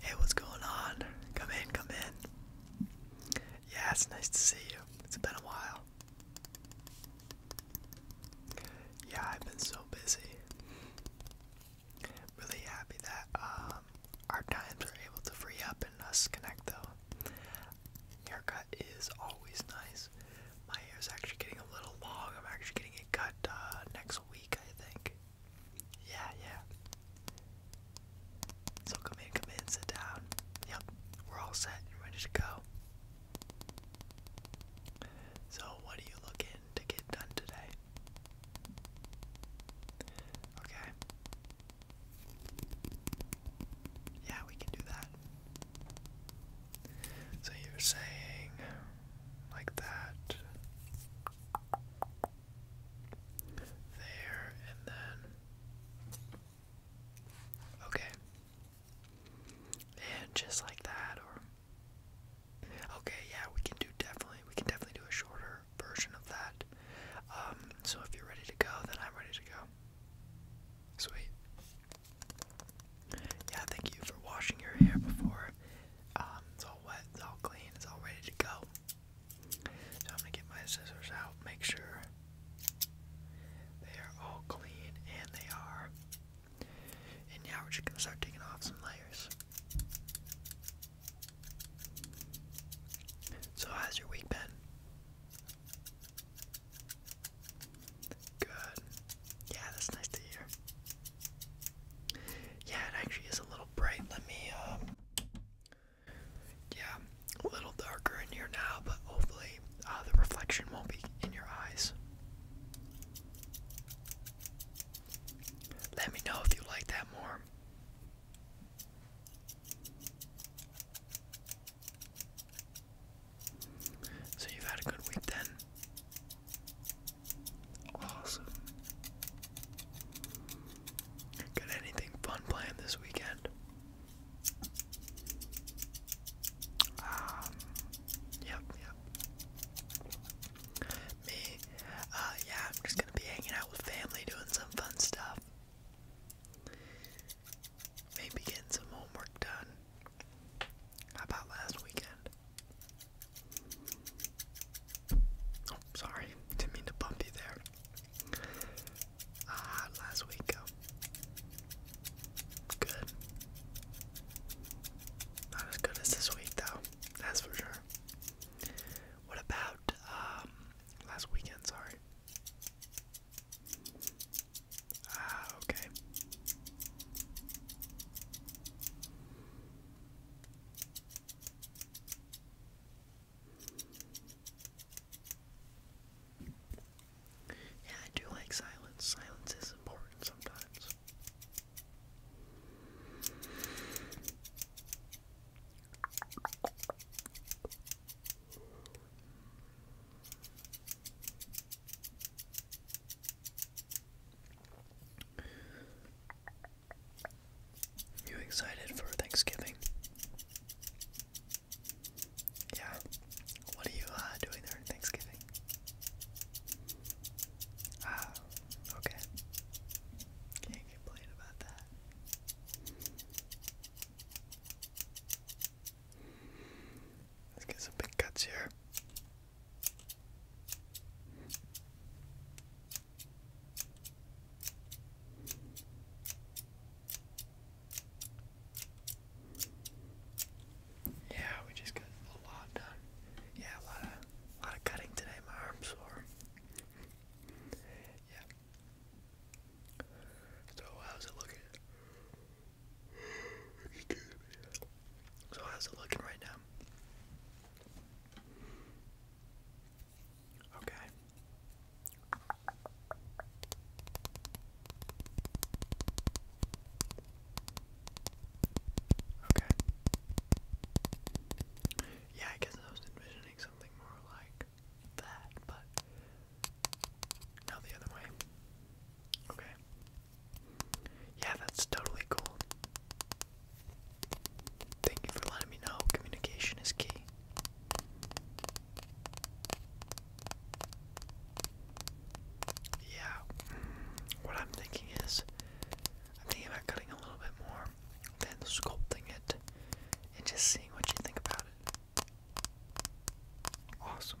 Hey, what's going on? Come in, come in. Yeah, it's nice to see you. It's been a while. Yeah, I've been so busy. Really happy that um, our times are able to free up and us connect though. Haircut is always nice. My hair's actually getting a little long. I'm actually getting it cut uh, next week, I think. Yeah, yeah. So come in, come in, sit down. Yep, we're all set and ready to go. So, what are you looking to get done today? Okay. Yeah, we can do that. So you're saying like that. There and then. Okay. And just like that, or. Okay, yeah, we can do definitely, we can definitely do a shorter version of that. Um, so if you're ready to go, then I'm ready to go. Sweet. Yeah, thank you for washing your hair before. Um, it's all clean, it's all ready to go. So I'm gonna get my scissors out, make sure they are all clean, and they are. And now we're just gonna start taking off some layers. So how's your week been? Good. Yeah, that's nice to hear. Yeah, it actually is a little bright. Let me, um, yeah, a little darker in here now, but hopefully uh, the reflection won't be in your eyes. Let me know if you like that more. So you've had a good week then. Awesome. Got anything fun planned this weekend? Um, yep, yep. Me, uh, yeah, I'm just gonna be hanging out with family, doing some fun stuff. Maybe getting some homework done. How about last weekend? Oh, sorry, didn't mean to bump you there. Ah, last week go. Good. Not as good as this week though, that's for sure. What about um last weekend, sorry. Ah, okay. Yeah, I do like silence. Silence is important sometimes. You excited for Thanksgiving? Yeah. What are you uh, doing there Thanksgiving? Ah, okay. Can't complain about that. Let's get some big cuts here. Yeah, we just got a lot done. Yeah, a lot of lot of cutting today. My arm's sore. yeah. So how's it looking? So how's it looking right now? Okay. Okay. Yeah, I guess I was envisioning something more like that, but now the other way. Okay. Yeah, that's totally cool. Thank you for letting me know. Communication is key. Yeah, what I'm thinking is, I'm thinking about cutting a little bit more, then sculpting it, and just seeing what you think about it. Awesome.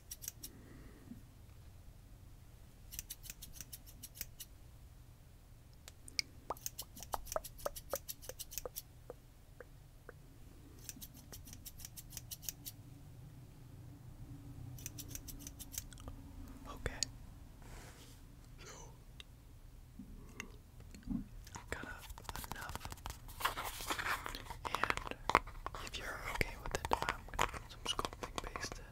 Okay. So got enough. And if you're okay with it, I'm gonna put some sculpting paste in.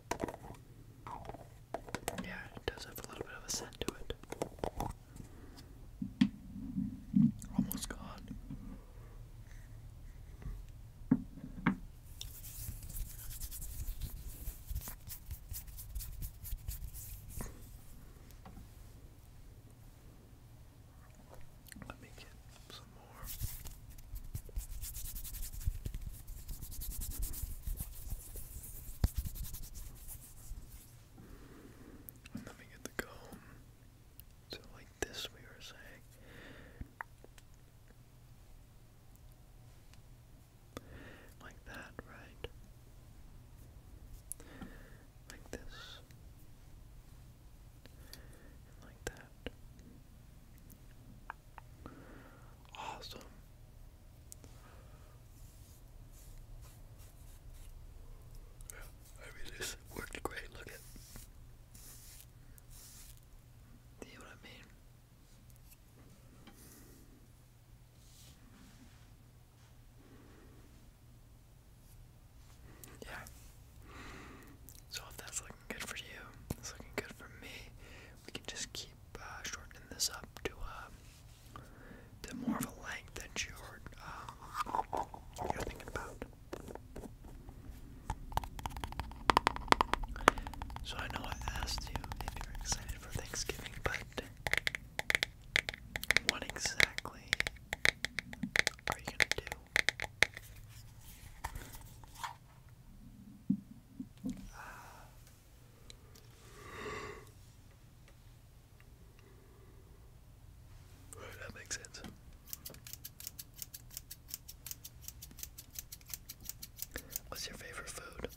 Yeah, it does have a little bit of a scent to it. Almost gone. Let me get some more. And then we get the comb. So like this we were saying. Like that, right? Like this. And like that. Awesome. Yeah, I worked great. Look at. See what I mean? Yeah. So that's like good for you. It's looking good for me. We can just keep uh, shortening this up to uh, to more of a length that you're uh, you're thinking about. So I know I asked you if you're excited for Thanksgiving, but what exactly are you gonna do? that makes sense. What's your favorite food?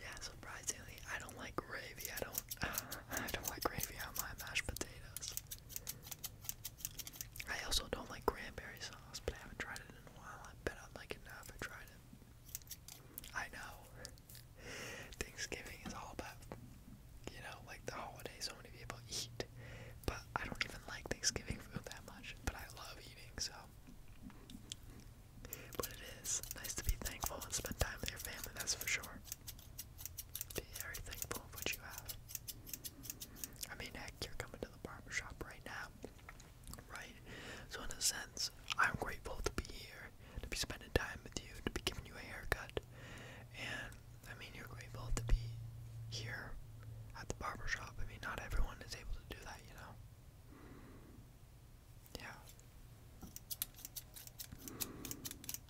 yeah, surprisingly, I don't like gravy. I don't. I don't like gravy on my mashed potatoes. I also don't like cranberry sauce, but I haven't tried it in a while. I bet I'd like it now if I tried it. I know. Thanksgiving is all about, you know, like the holiday so many people eat. But I don't even like Thanksgiving food that much, but I love eating, so. But it is nice to be thankful and spend time with your family, that's for sure. Be very thankful of what you have. I mean, heck, you're coming to the barber shop right now, right? So, in a sense, I'm grateful to be here, to be spending time with you, to be giving you a haircut. And, I mean, you're grateful to be here at the barber shop. I mean, not everyone is able to do that, you know? Yeah.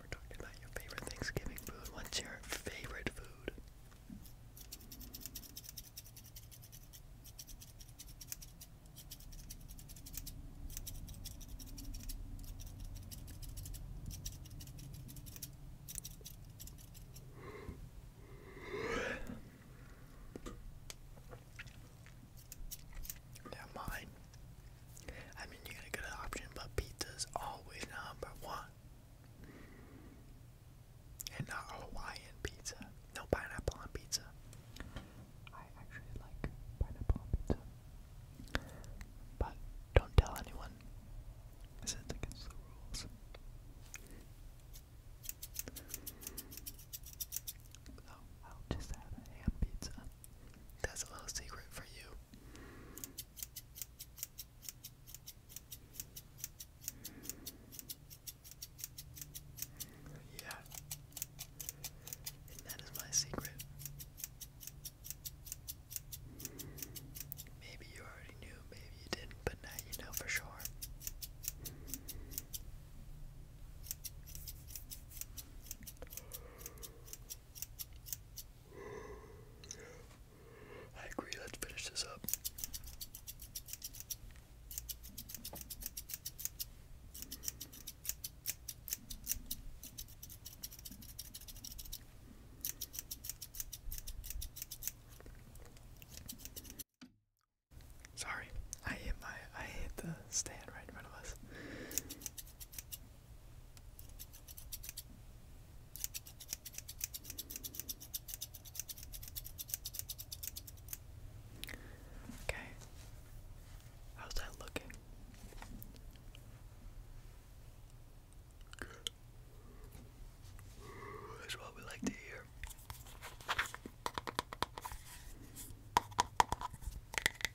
We're talking about your favorite Thanksgiving food. What's your favorite food? Never mind. I mean, you got a good option, but pizza's always number one. And not Hawaiian pizza. No pineapple on pizza. I actually like pineapple pizza. But don't tell anyone. This is against the rules. So I'll just have ham pizza. That's a little secret for you. Yeah. And that is my secret. Maybe you already knew, maybe you didn't, but now you know for sure. I agree, let's finish this up. Sorry, I hit my I hit the stand right in front of us. Okay. How's that looking? Good. That's what we like to hear.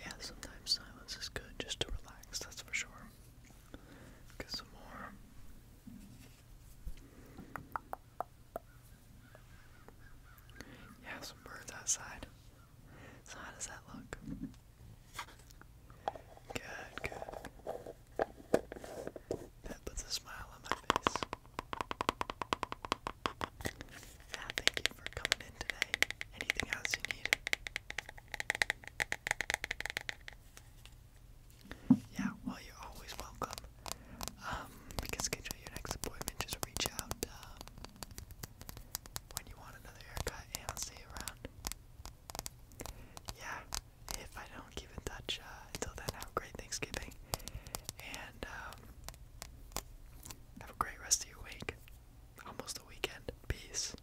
Yeah, sometimes silence is good just to relax, that's for sure. Get some more. Yeah, some birds outside. So how does that look? Good, good. That puts a smile on my face. Yeah, thank you for coming in today. Anything else you need? Yeah, well, you're always welcome. Um, we can schedule your next appointment. Just reach out um, when you want another haircut, and I'll see around. Yeah, if I don't keep in touch uh, until then, have great Thanksgiving, and um, have a great rest of your week. Almost the weekend. Peace.